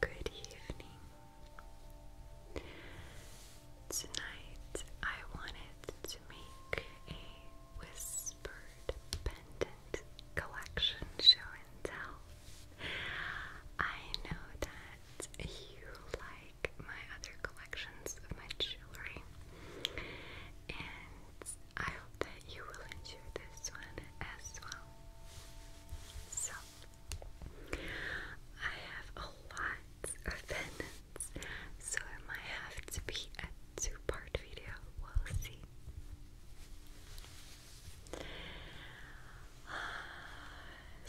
Good evening. Tonight I wanted to make a whispered pendant collection show and tell. I know that you like my other collections of my jewelry, and I hope that you will enjoy this one as well. So, I have a lot of pendants, so it might have to be a two part video. We'll see.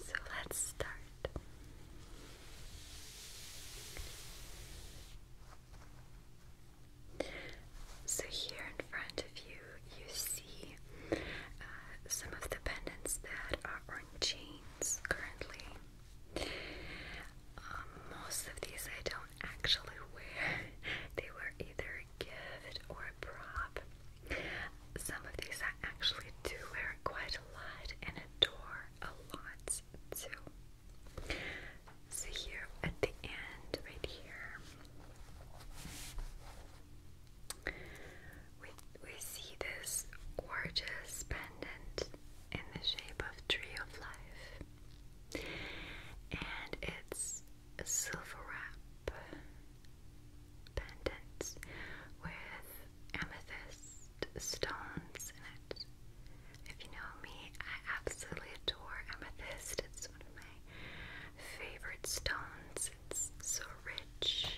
So, let's start. So, here in front of you, you see uh, some of the pendants that are on chains currently. Um, most of these I don't actually wear, they were either a gift or a prop. Some of these I actually do wear quite a lot and adore a lot too. So, here at the end, right here, we, we see this gorgeous pendant in the shape of Tree of Life, and it's a silver wrap pendant with amethyst stones in it. If you know me, I absolutely adore amethyst. It's one of my favorite stones. It's so rich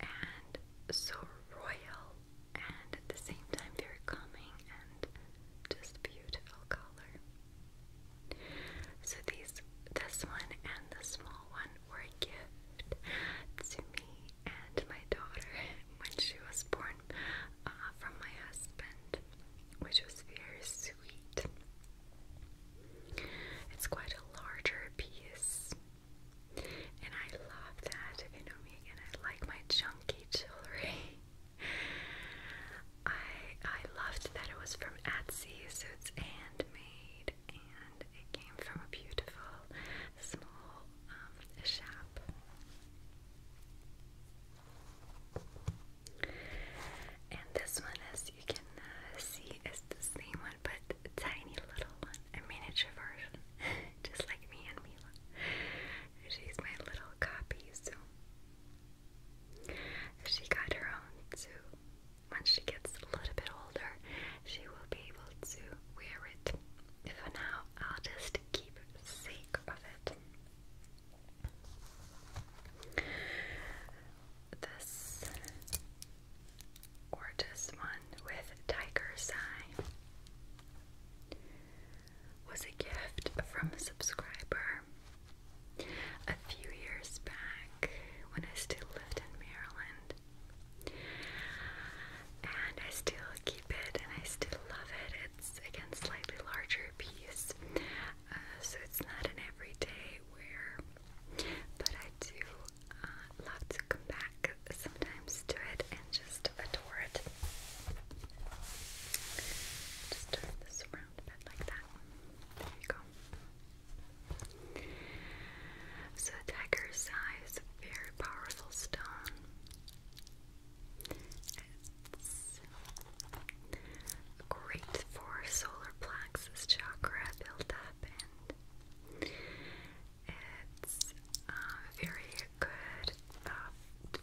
and so royal, and at the same time, very calming and just beautiful color. So these, this one and the small one were a gift to me and my daughter when she was born uh, from my husband, which was very soon it's quite a larger piece, and I love that. If you know me again, I like my chunky jewelry. I I loved that it was from Etsy, so it's handmade, and it came from a beautiful small um, shop. And this one, as you can uh, see, is the same one, but tiny little one, a miniature version, just like me and Mila. She's my little copy, so she got her own too. Once she gets a little bit older, she will be able to wear it. For now, I'll just keep sake of it. This gorgeous one with tiger's eye was a gift from a subscriber a few years back when I still lived in Maryland. And I still keep it and I still love it. It's again slightly larger piece. Uh, so it's not an everyday wear, but I do uh, love to come back sometimes to it and just adore it. Just turn this around a like that. There you go. So, Tiger's Eye is a very powerful stone. It's great for solar plexus chakra buildup, and it's uh, very good uh,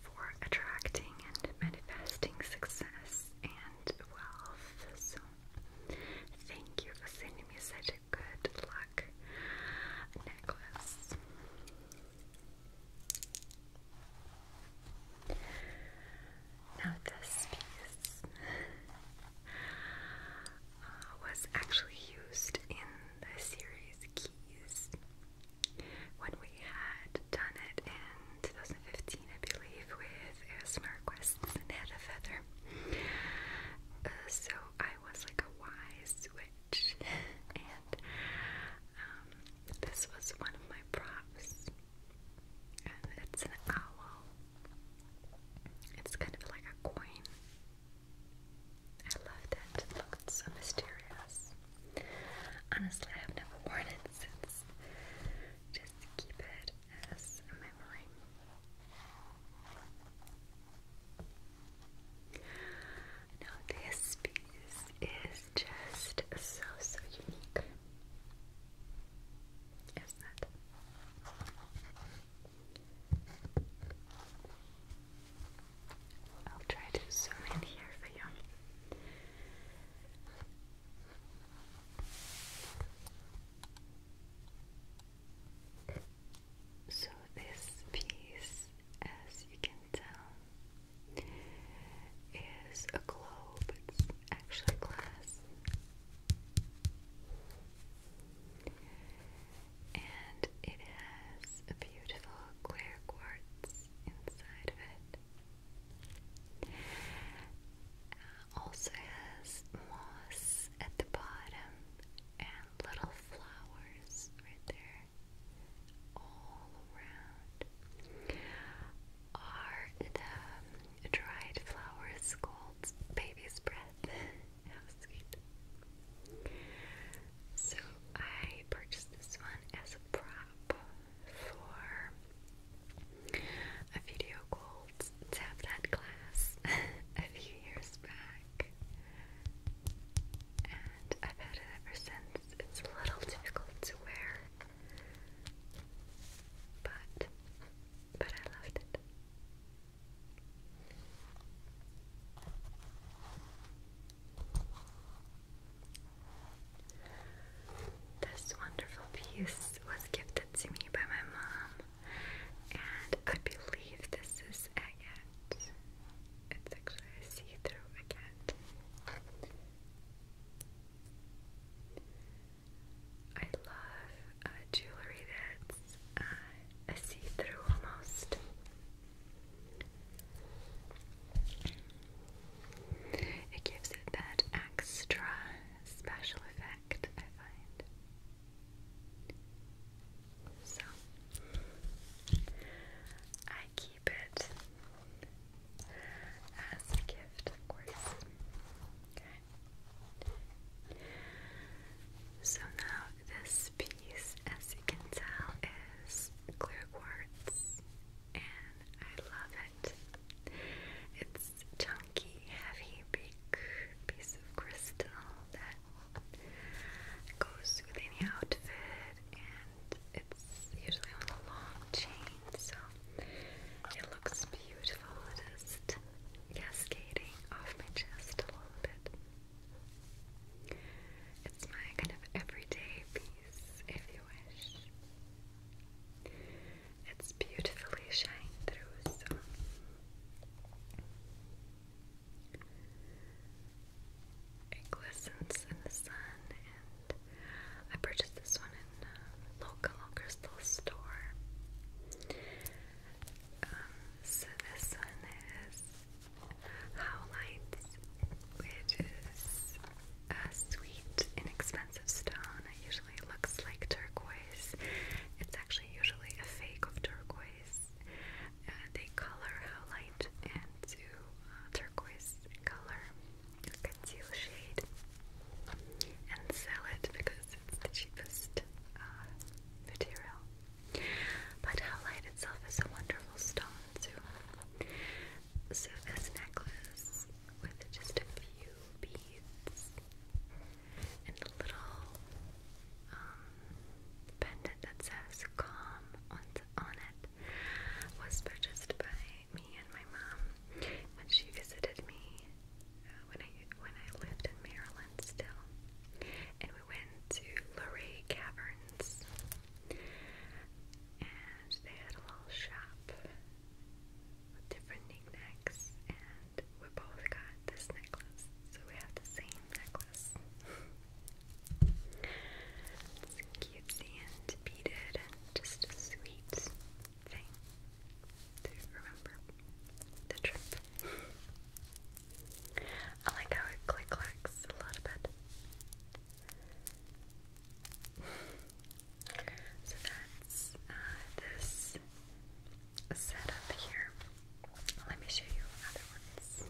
for attracting and manifesting success and wealth. So, thank you for sending me such a good luck necklace. Now, this piece uh, was actually used in the series Keys when we had done it in 2015, I believe, with ASMR Quests and Feather. Uh, so I was like a wise witch, um, this was one of my props, and it's an owl. It's kind of like a coin. I loved it. It looked so mysterious. Honestly, I have never worn it since. Just keep it as a memory. Now this piece is just so, so unique. Isn't it? I'll try to zoom in here for you. So, this piece, as you can tell, is a globe. It's actually glass. And it has a beautiful clear quartz inside of it. Uh, also has moss at the bottom and little flowers right there all around. Are the dried flowers called baby's breath? So I purchased this one as a prop for a video called Tap That Class a few years back. And I've had it ever since. It's a little difficult to wear but but I loved it. This wonderful piece was gifted to me by my mom, and I believe this is a It's actually a see-through a I love uh, jewelry that's uh, a see-through almost. It gives it that extra special effect, I find. So, I keep as a gift, of course. Okay. So now this piece, as you can tell, is clear quartz, and I love it. It's chunky, heavy, big piece of crystal that goes with any outfit it's usually on a long chain, so it looks beautiful It is cascading off my chest a little bit. It's my kind of everyday piece, if you wish. It's beautifully shining through, so it glistens in the sun and I purchased this one in uh, a local crystal store um, so this one is howlites which is a sweet inexpensive stone it usually looks like turquoise it's actually usually a fake of turquoise uh, they color howlite into uh, turquoise color conceal shade and sell it because it's the cheapest uh, material. But howlite itself is a wonderful stone too. So this necklace with just a few beads and a little um, pendant that says calm on on it was purchased by me and my mom when she visited me uh, when I when I lived in Maryland still, and we went to Luray Caverns, and they had a little shop with different knickknacks, and we both got this necklace, so we have the same necklace. It's cutesy and beaded and just sweet thing to remember the trip. I like how it click clacks a little bit. So that's this setup here. Let me show you another one.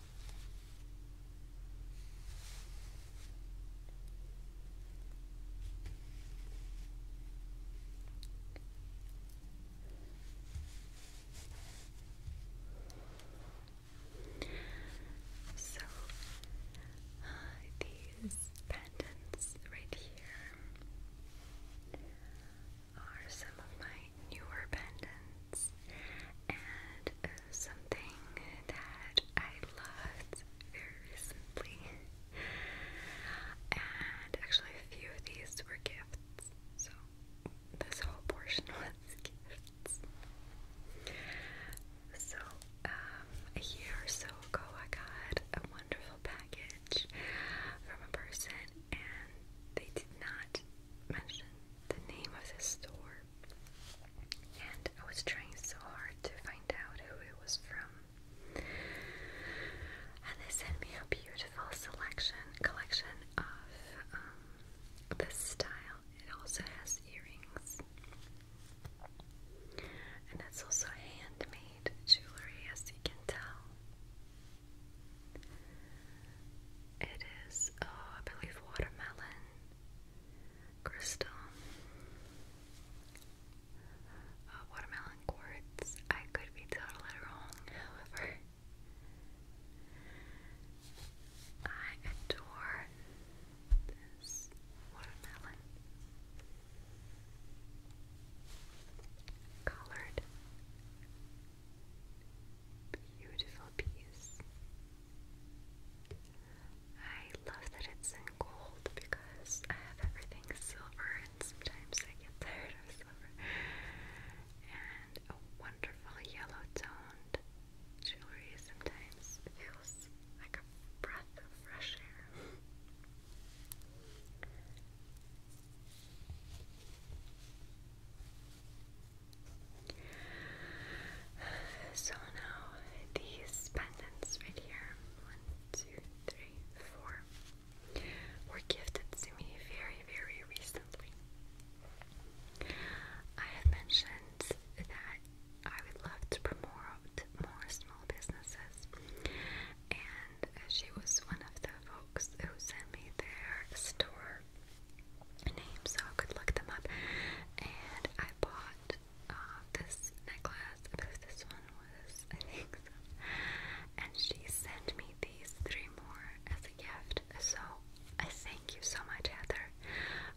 So uh, these patents right here are some of my newer pendants, and uh, something that I loved very recently. And actually, a few of these were gifts. So, this whole portion was gifts. So, um, a year or so ago, I got a wonderful package from a person, and they did not mention the name of the store and I was trying so hard to find out who it was from. And they sent me a beautiful selection collection of um, the style. It also has earrings, and it's also handmade jewelry, as you can tell. It is, oh, I believe, watermelon crystal, uh, watermelon quartz. I could be totally wrong, however, I adore this watermelon colored beautiful piece. I love that it's in gold because I have everything silver and sometimes I get tired of silver. And a wonderful yellow toned jewelry sometimes feels like a breath of fresh air. So now these pendants right here one, two, three, four were gifted to me very, very recently. I have mentioned that I would love to promote more small businesses, and she was one of the folks who sent me their store name, so I could look them up. And I bought uh, this necklace because this one was, I think, and she sent me these three more as a gift. So I thank you so much, Heather.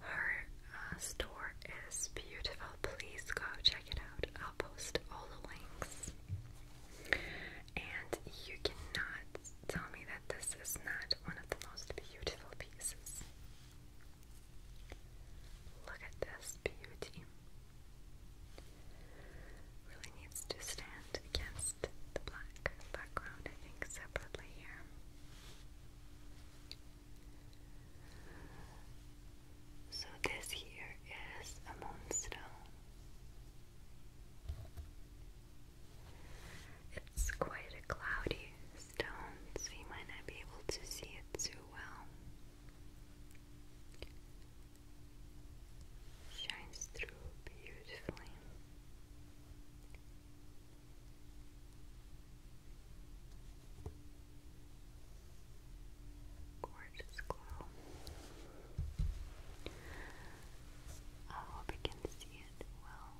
Her uh, store is beautiful. Please go check it out. I'll post all the links. And you cannot tell me that this is not one of the most beautiful pieces. Look at this beauty. Really needs to stand against the black background, I think, separately here. So, this here is a moonstone. It's quite a cloudy stones, you might not be able to see it too well. Shines through beautifully. Gorgeous glow. I hope you can see it well.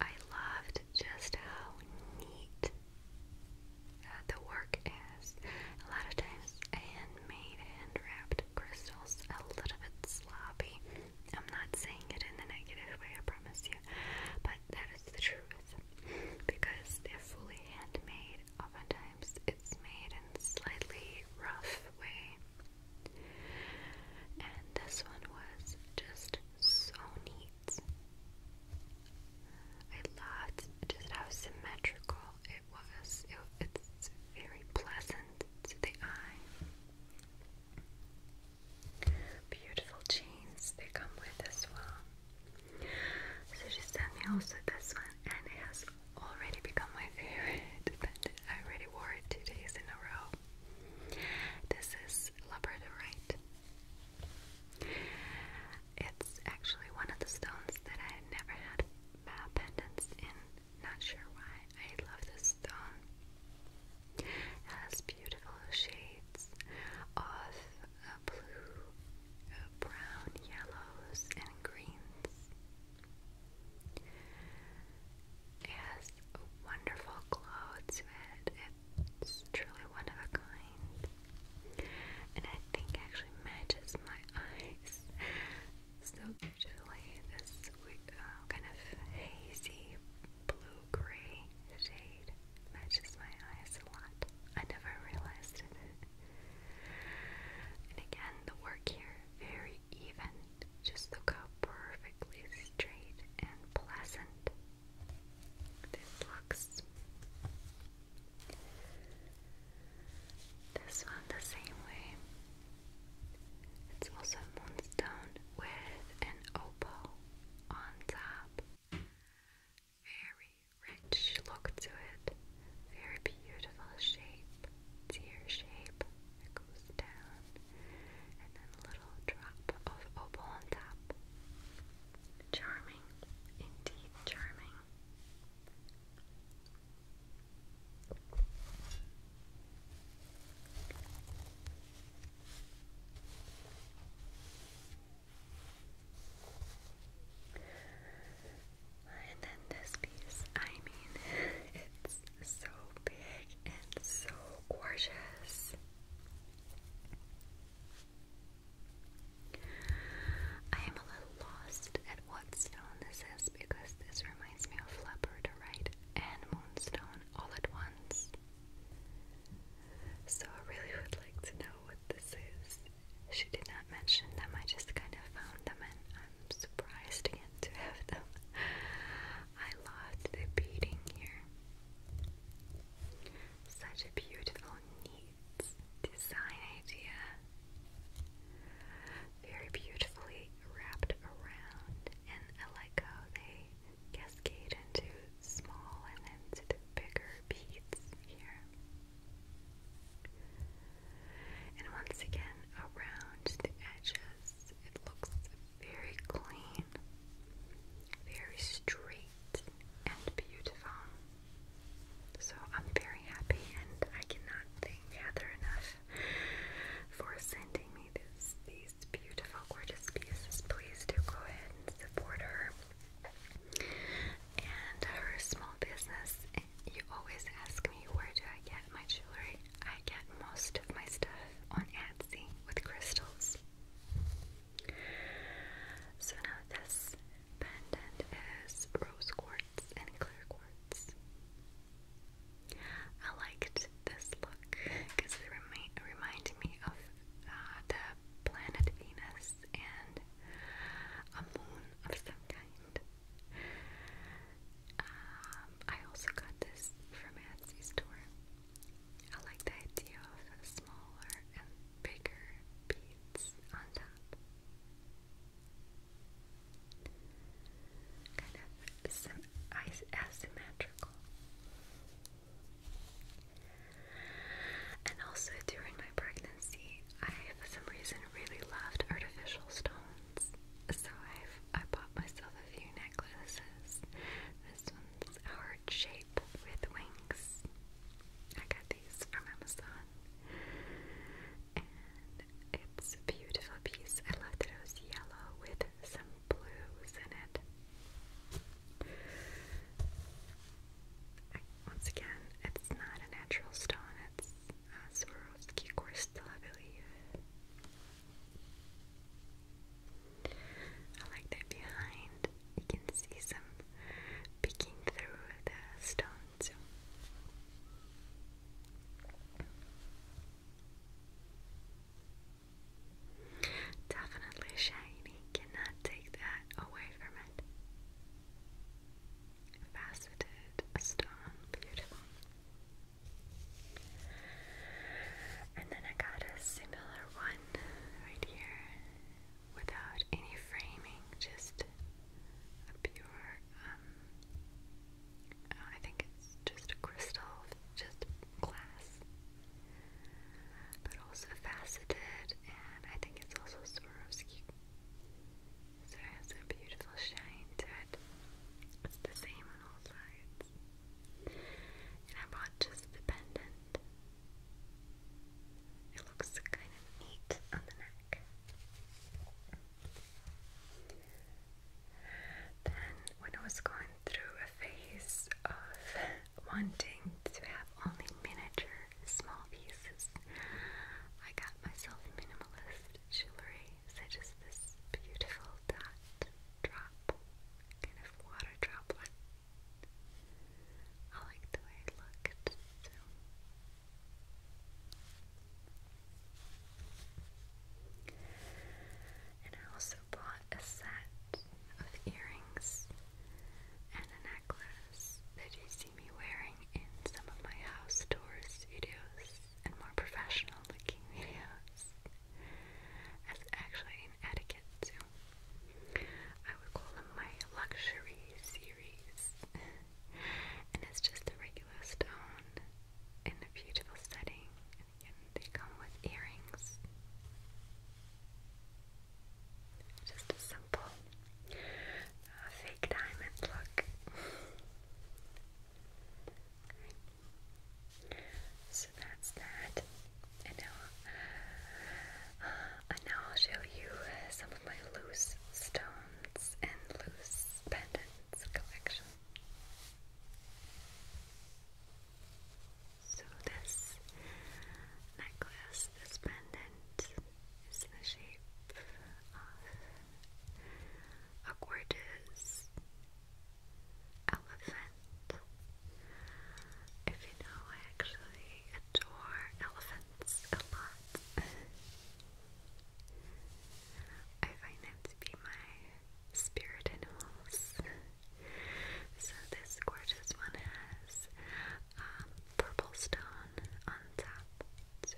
I loved just how neat uh, the work is. A lot of times, handmade, hand wrapped crystals, a little bit sloppy. I'm not saying it in a negative way, I promise you, but that is the truth because they're fully handmade. Oftentimes, it's made in a slightly rough way. And this one was just so neat. I loved just how symmetrical it was. It, it's very pleasant to the eye. Beautiful chains they come with as well. So she sent me also this one, and it has already become my favorite, but I already wore it two days in a row. This is labradorite. It's actually one of the stones that I had never had uh, pendants in. Not sure why. I love this stone. has beautiful shades of uh, blue, uh, brown, yellows, and greens. It has wonderful glow to it. It's truly one of a kind. And I think actually matches my eyes. So usually this uh, kind of hazy blue-gray shade matches my eyes a lot. I never realized And again, the work here, very even. Just look how perfectly straight and pleasant this looks. This one the same way. It's also moonstone with an opal on top. Very rich look to it. Very beautiful shape. Tear shape. It goes down, and then a little drop of opal on top. Charming, indeed charming. And then this piece, I mean, it's so big and so gorgeous. I am a little lost at what stone this is because this reminds me of Labradorite and Moonstone all at once. So I really would like to know what this is. She did not mention them, I just kind of found them and I'm surprised again to have them. I loved the beading here. Such a beautiful, neat design idea. Very beautifully wrapped around, and I like how they cascade into small and then bigger beads here. And once again, around the edges, it looks very clean, very straight, and beautiful. So I'm very happy, and I cannot thank Heather enough for sending me these beautiful, gorgeous pieces. Please do go ahead and support her and her small business. You always ask me where do I get my jewelry. I get most of my stuff on Etsy with crystals. So now this pendant is rose quartz and clear quartz. I liked this look because it remind reminded me of uh, the planet Venus and a moon of some kind. Um, I also got this from Etsy store. I like the idea of smaller and bigger beads on top. Kind of asymmetrical. And also during my pregnancy, I for some reason really loved artificial stone. So I've I bought myself a few necklaces. This one's heart shape with wings. I got these from Amazon. it's a beautiful piece. I love that it was yellow with some blues in it. once again, it's not a natural stone, Swarovski crystal, I believe. I like that behind you can see some peeking through the stones. Definitely shiny, cannot take that away from it. Faceted stone, beautiful. And then I got a similar one right here without any framing, just a pure, um, oh, I think it's just crystal, just glass, but also faceted, and I think it's also Swarovski. So it has a beautiful shine to it. It's the same on all sides. And I bought just the pendant. It looks kind of neat on the neck. Then, when I was going through a phase of wanting to have only miniature small pieces, I got myself minimalist jewelry such just this beautiful dot drop, kind of water droplet. I like the way it looked And I also bought a set of earrings and a necklace that you see me wearing in some of my house tours videos and more professional looking videos. As actually an etiquette too. I would call them my luxury series. and it's just a regular stone in a beautiful setting. And again, they come with earrings. Just a simple uh, fake diamond look. So that's that. And now, uh, and now I'll show you some of my loose stones and loose pendants collection. So this necklace, this pendant, is in the shape of a gorgeous elephant. If you know, I actually adore elephants a lot. I find them to be my spirit animals. so this gorgeous one has um, purple stone on top. So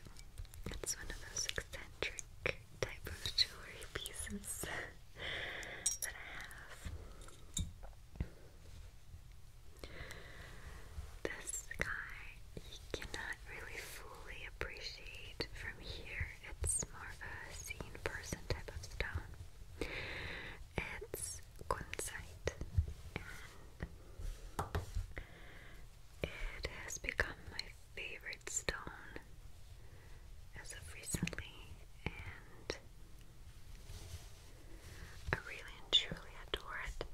it's one of those eccentric type of jewelry pieces that I have. This guy, you cannot really fully appreciate from here. It's more of a seen person type of stone. It's Kunzite, and it has become my favorite stone as of recently, and I really and truly adore it.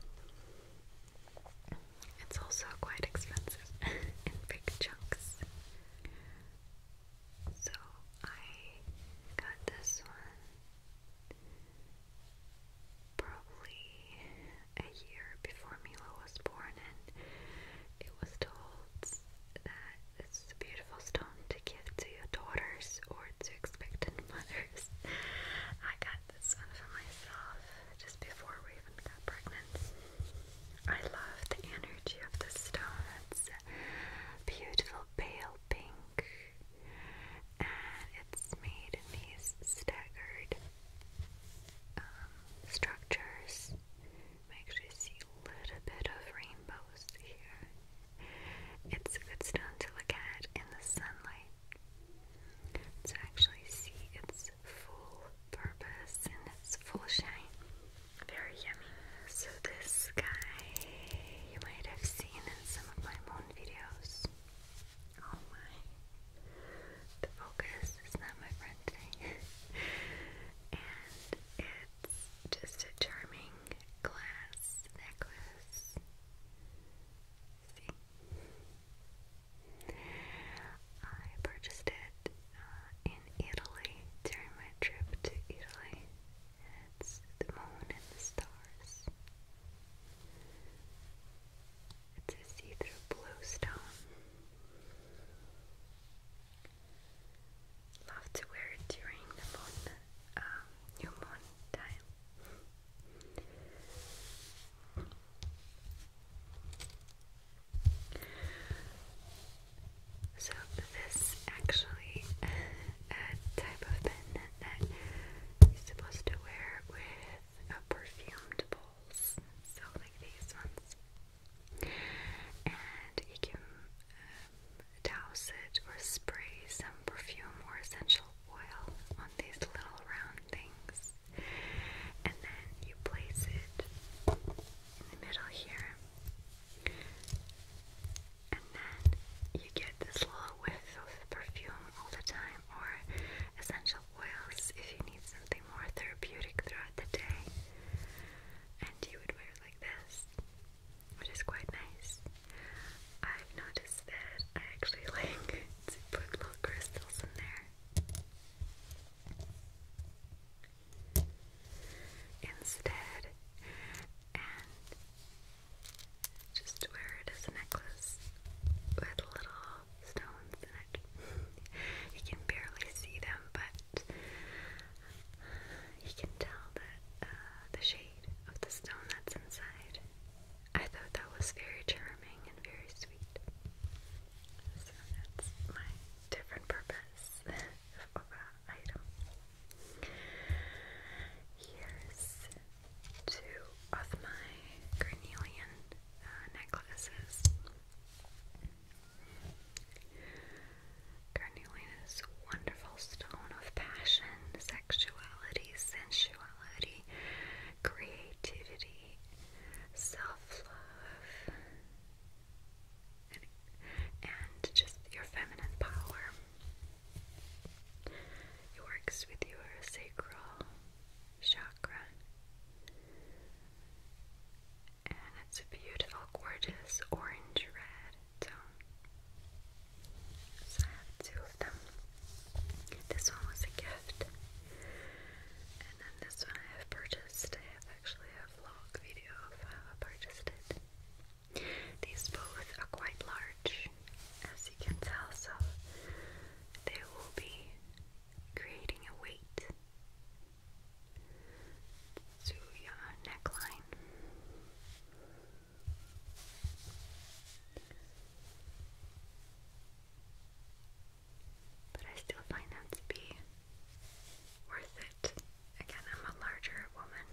It's also quite expensive in big chunks. So I got this one probably a year before Milo was born, and it was told that it's a beautiful stone to give to your daughters or to expectant mothers. I got this one for myself just before we even got pregnant. I love the energy of the stone. beautiful pale pink and it's made in these staggered um, structures. We actually see a little bit of rainbows here. It's a good stone to look at in the sunlight. To actually see its full purpose and its full shine. Very yummy. So this guy you might have seen in some of my moon videos. Oh my, the focus is not my friend today. and it's just a charming glass necklace. I purchased it uh, in Italy during my trip to Italy. It's the moon and the stars. It's a see-through blue stone. Love to wear it during the moon, uh, new moon time. So this actually a type of pen that you're supposed to wear with a perfumed bowl so like these ones, and you can um, douse it or spray some perfume or essential oil on these little round things, and then you place it in the middle here, and then you get this little whiff of perfume all the time or essential oils if you need something more therapeutic throughout the day. And you would wear like this, which is quite nice. I've noticed that I actually like to put little crystals in there. Instead, and just wear it as a necklace with little stones in it. you can barely see them, but you can tell that uh, the shade of the stone that's inside. I thought that was very charming and very sweet. So that's my different purpose of an item. Here's two of my carnelian uh, necklaces. Carnelian wonderful stone of passion, sexuality, sensuality, creativity, self-love, and just your feminine power. It works with your sacral chakra. And it's a beautiful, gorgeous orange red tone. So I have two of them. This one was a gift. And then this one I have purchased. I have actually a vlog video of how I purchased it. These both are quite large, as you can tell, so they will be creating a weight to your neckline. But I still find that to be worth it. Again, I'm a larger woman,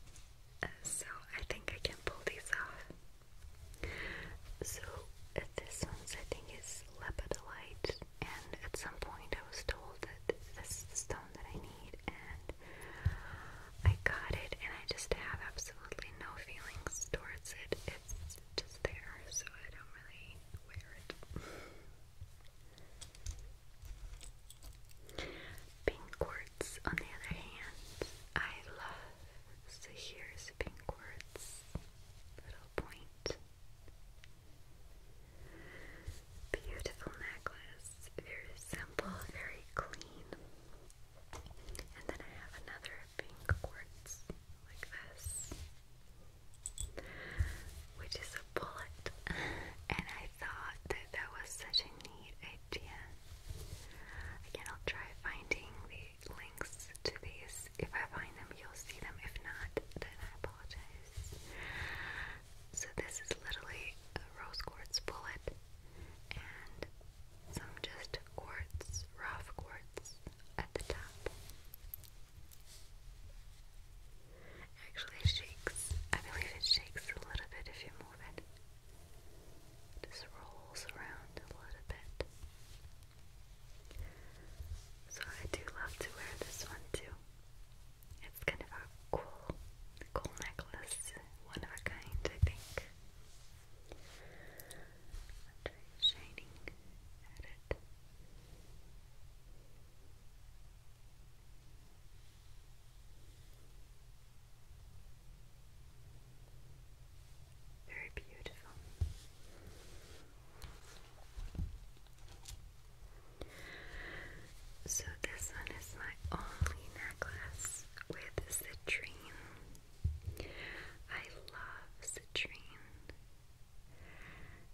so I think I can pull these off. So uh, this one's I think is lepidolite, and at some point I was told that this is the stone that I need, and I got it, and I just have absolutely no feelings towards it. It's just there, so I don't really wear it. Pink quartz, on the other hand, I love so here's pink quartz, little point. Beautiful necklace, very simple, very clean. And then I have another pink quartz like this, which is a bullet. And I thought that that was such a neat idea. Again, I'll try finding the links to these. If I find them, you'll see them. If not, then I apologize. So this is literally a rose quartz bullet and some just quartz, rough quartz at the top. Actually shakes. I believe it shakes a little bit if you move it. Just rolls around a little bit. So I do love to wear this one too. It's kind of a cool, cool necklace, one of a kind, I think. shining at it. Very beautiful. So, this one is my only necklace with citrine. I love citrine.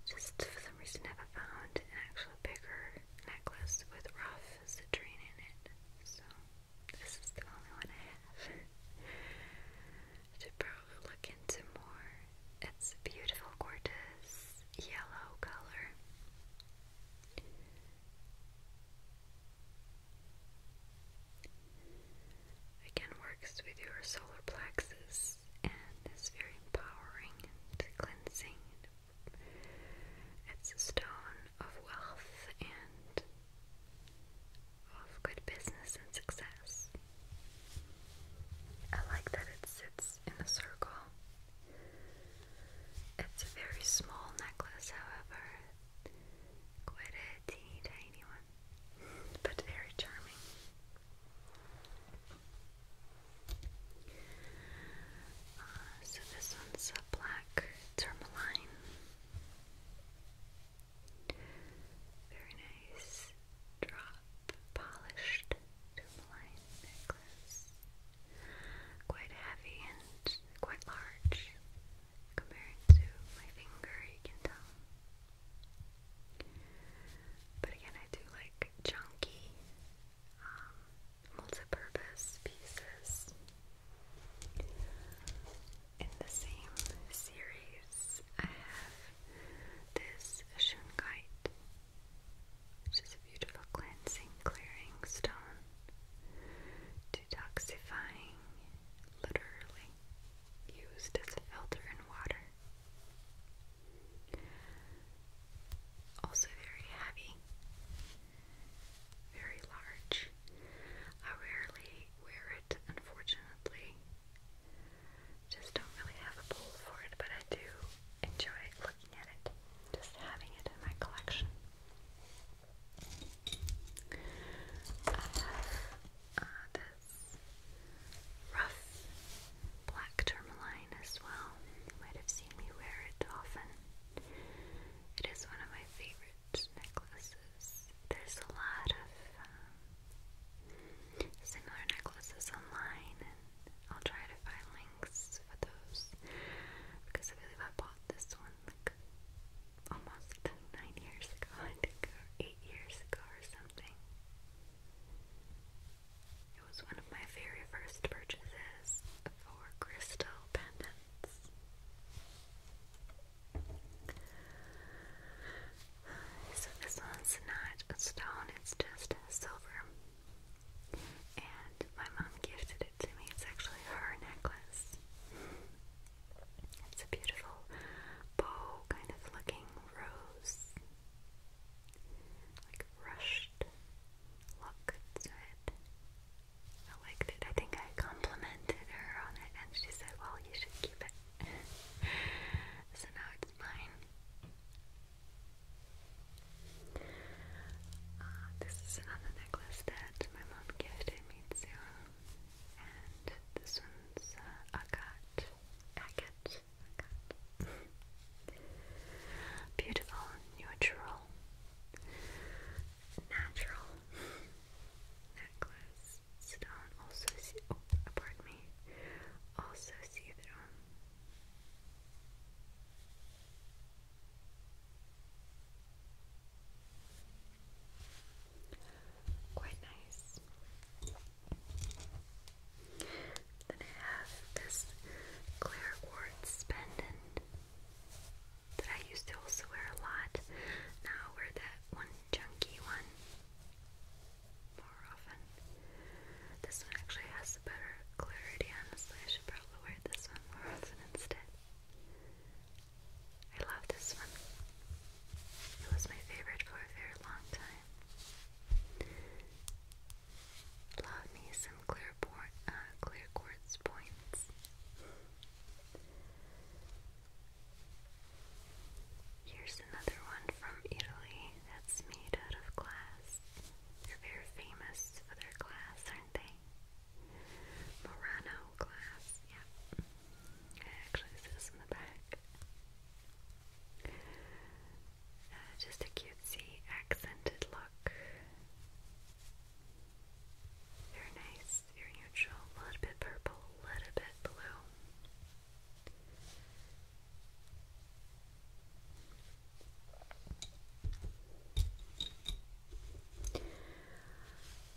Just for some reason, I found an actual bigger necklace with rough citrine in it. So, this is the only one I have. I look into more. It's a beautiful, gorgeous yellow color. Again, works with your solar plexus and is very empowering and cleansing. It's a stone of wealth and of good business and success. I like that it sits in a circle. It's a very small necklace, however, quite a teeny tiny one, but very charming. Uh, so this one's a black tourmaline. Very nice drop polished tourmaline necklace. Quite heavy and quite large compared to my finger, you can tell. But again, I do like chunky, um, pieces in the same series, I have this Shunkite, which is a beautiful cleansing, clearing stone, detoxifying, literally used as a filter in water. Also, very heavy, very large. I rarely wear it, unfortunately. Just don't really have a bowl for it, but I do enjoy looking at it, just having it in my collection. I have uh, this rough black tourmaline as well. You might have seen me wear it often. It is one of my favorite necklaces. There's a lot of um, similar necklaces online, and I'll try to find links for those because I believe I bought this one like almost nine years ago, I think, or eight years ago, or something. It was one of my very first purchases for crystal pendants. So this one's not a stone, it's just silver. And my mom gifted it to me. It's actually her necklace. It's a beautiful bow kind of looking rose. Like rushed look to it. I liked it. I think I complimented her on it, and she said, Well, you should keep it. so now it's mine. Uh, this is another necklace that my mom gifted me too. And this one's uh, agate. Agate. Agate. Beautiful, neutral, natural necklace. Sidon also see oh pardon me also see through. Quite nice. Then I have this clear quartz pendant that I used to also wear a lot. Now I wear that one chunky one more often. This one actually has a better clarity, honestly. I should probably wear this one more often instead. I love this one. It was my favorite for a very long time. Love me some clear uh, quartz points. Here's another one from Italy that's made out of glass. They're very famous for their glass, aren't they? Murano glass, yeah. It actually says in the back. Uh, just a cutesy accented look. Very nice a little bit purple, a little bit blue.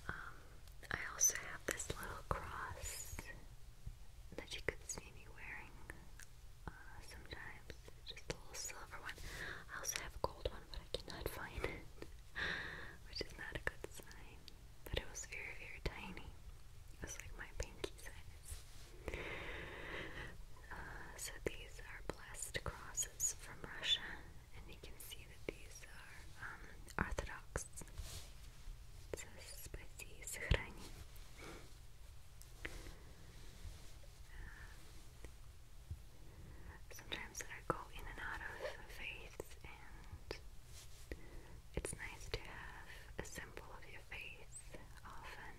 Um, I also have this little cross that you could see me wearing uh, sometimes. Just a little silver one. I also have a gold one, but I cannot find it, which is not a good sign but it was very, very tiny. It was like my pinky size. Uh, so these are blessed crosses from Russia, and you can see that these are um, Orthodox. Uh, sometimes I go in and out of faith and it's nice to have a symbol of your face often.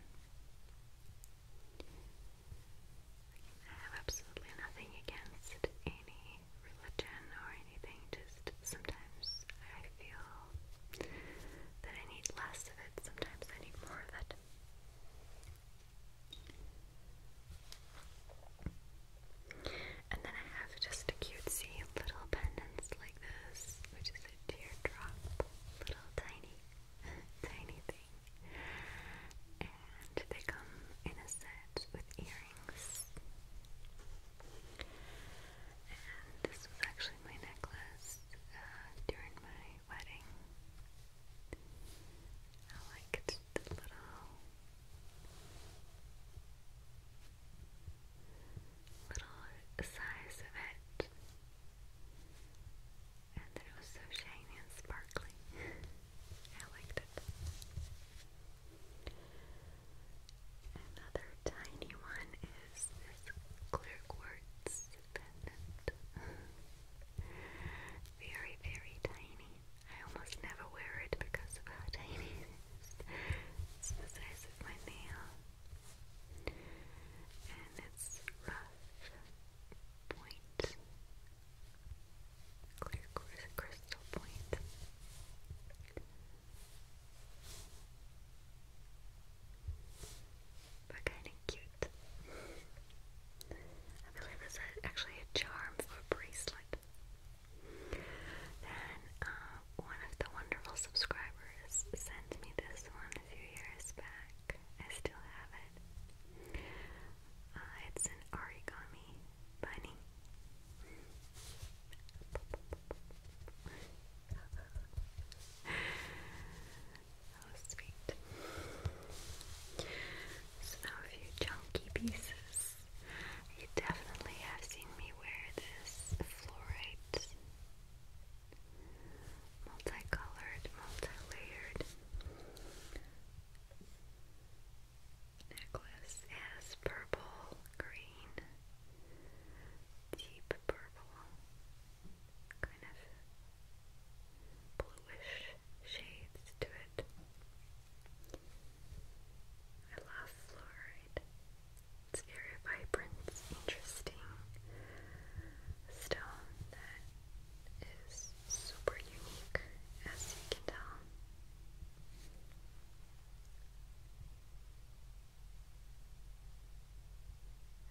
I have absolutely nothing against any religion or anything, just sometimes I feel that I need less of it, sometimes I need more of it. And then I have just a cutesy little pendants like this, which is a teardrop, little tiny, tiny thing. And they come in a set with earrings. And this was actually my necklace uh, during my wedding. I liked just a little little size of it and it was so shiny and sparkly I liked it another tiny one is this clear quartz pendant very very tiny I almost never wear it because of how tiny it is. It's the size of my nail. And it's rough point. Clear crystal point. But kinda cute. I believe it's actually a charm for a bracelet. Then uh, one of the wonderful subscribers sent me this one a few years back. I still have it. Uh, it's an origami bunny. Oh, sweet. So, a few chunky pieces you definitely have seen me wear this fluorite multicolored, multi-layered necklace. It has purple, green, deep purple, kind of bluish shades to it. I love fluoride. It's very vibrant, interesting stone that is super unique, as you can tell.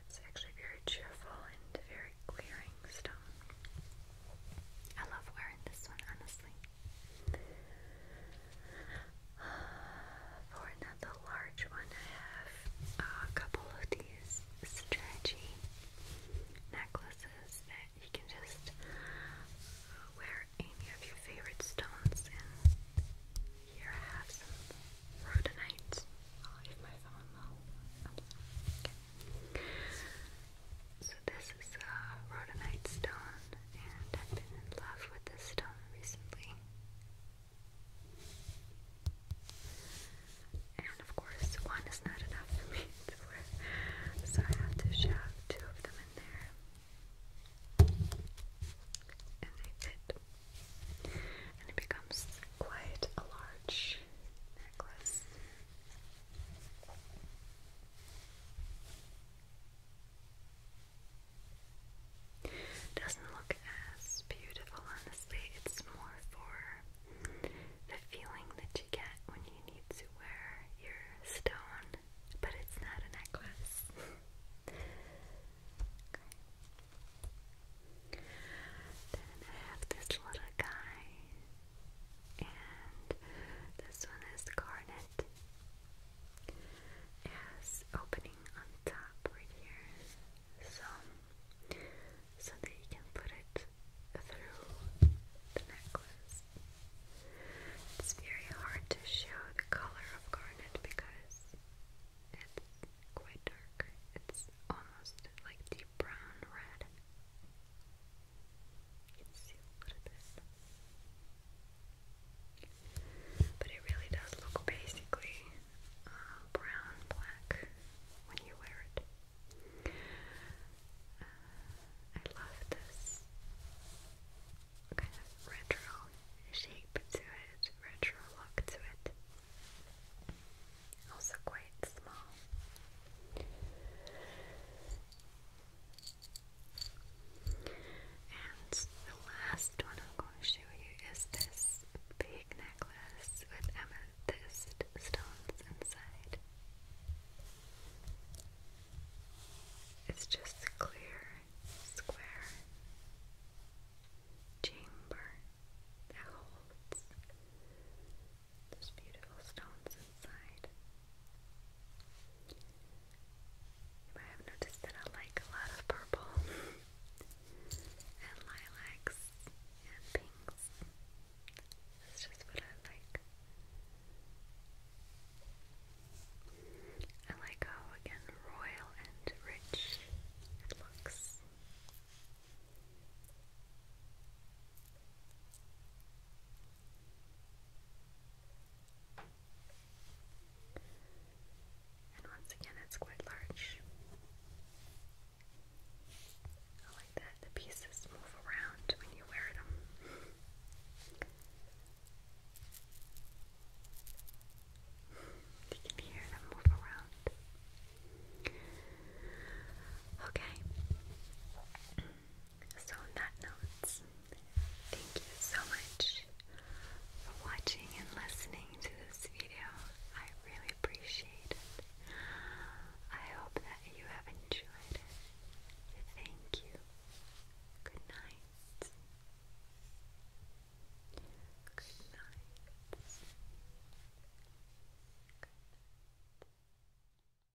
It's actually very cheerful and very clearing stone. I love wearing this one, honestly. For another large one, I have a couple of these stretchy necklaces that you can just wear any of your favorite stones Here I have some rhodonite. I'll leave my phone low. So this is a uh, rhodonite stone, and I've been in love with this stone recently. And of course, one is not enough for me so I have to shove two of them in there. And they fit. And it becomes quite a large necklace. Doesn't look as beautiful, honestly. It's more for the feeling that you get when you need to wear your stone, but it's not a necklace. Then I have this little guy and this one is garnet. It has opening on top right here, so so that you can put it through the necklace. It's very hard to show the color of garnet because it's quite dark. It's almost like deep brown red. You But it really does look basically uh, brown black when you wear it. Uh, I love this kind of retro shape to it, retro look to it. Also quite small. And the last one I'm going to show you is this big necklace with amethyst stones inside. It's just clear, square chamber that holds there's beautiful stones inside. You might have noticed that I like a lot of purple and lilacs and pinks. That's just what I like. I like how again royal and rich it looks. And once again, it's quite large. I like that the pieces move around when you wear them. you can hear them move around. Okay. So, on that note, thank you so much for watching and listening to this video. I really appreciate it. I hope that you have enjoyed it. Thank you. Good night. Good night. Good night.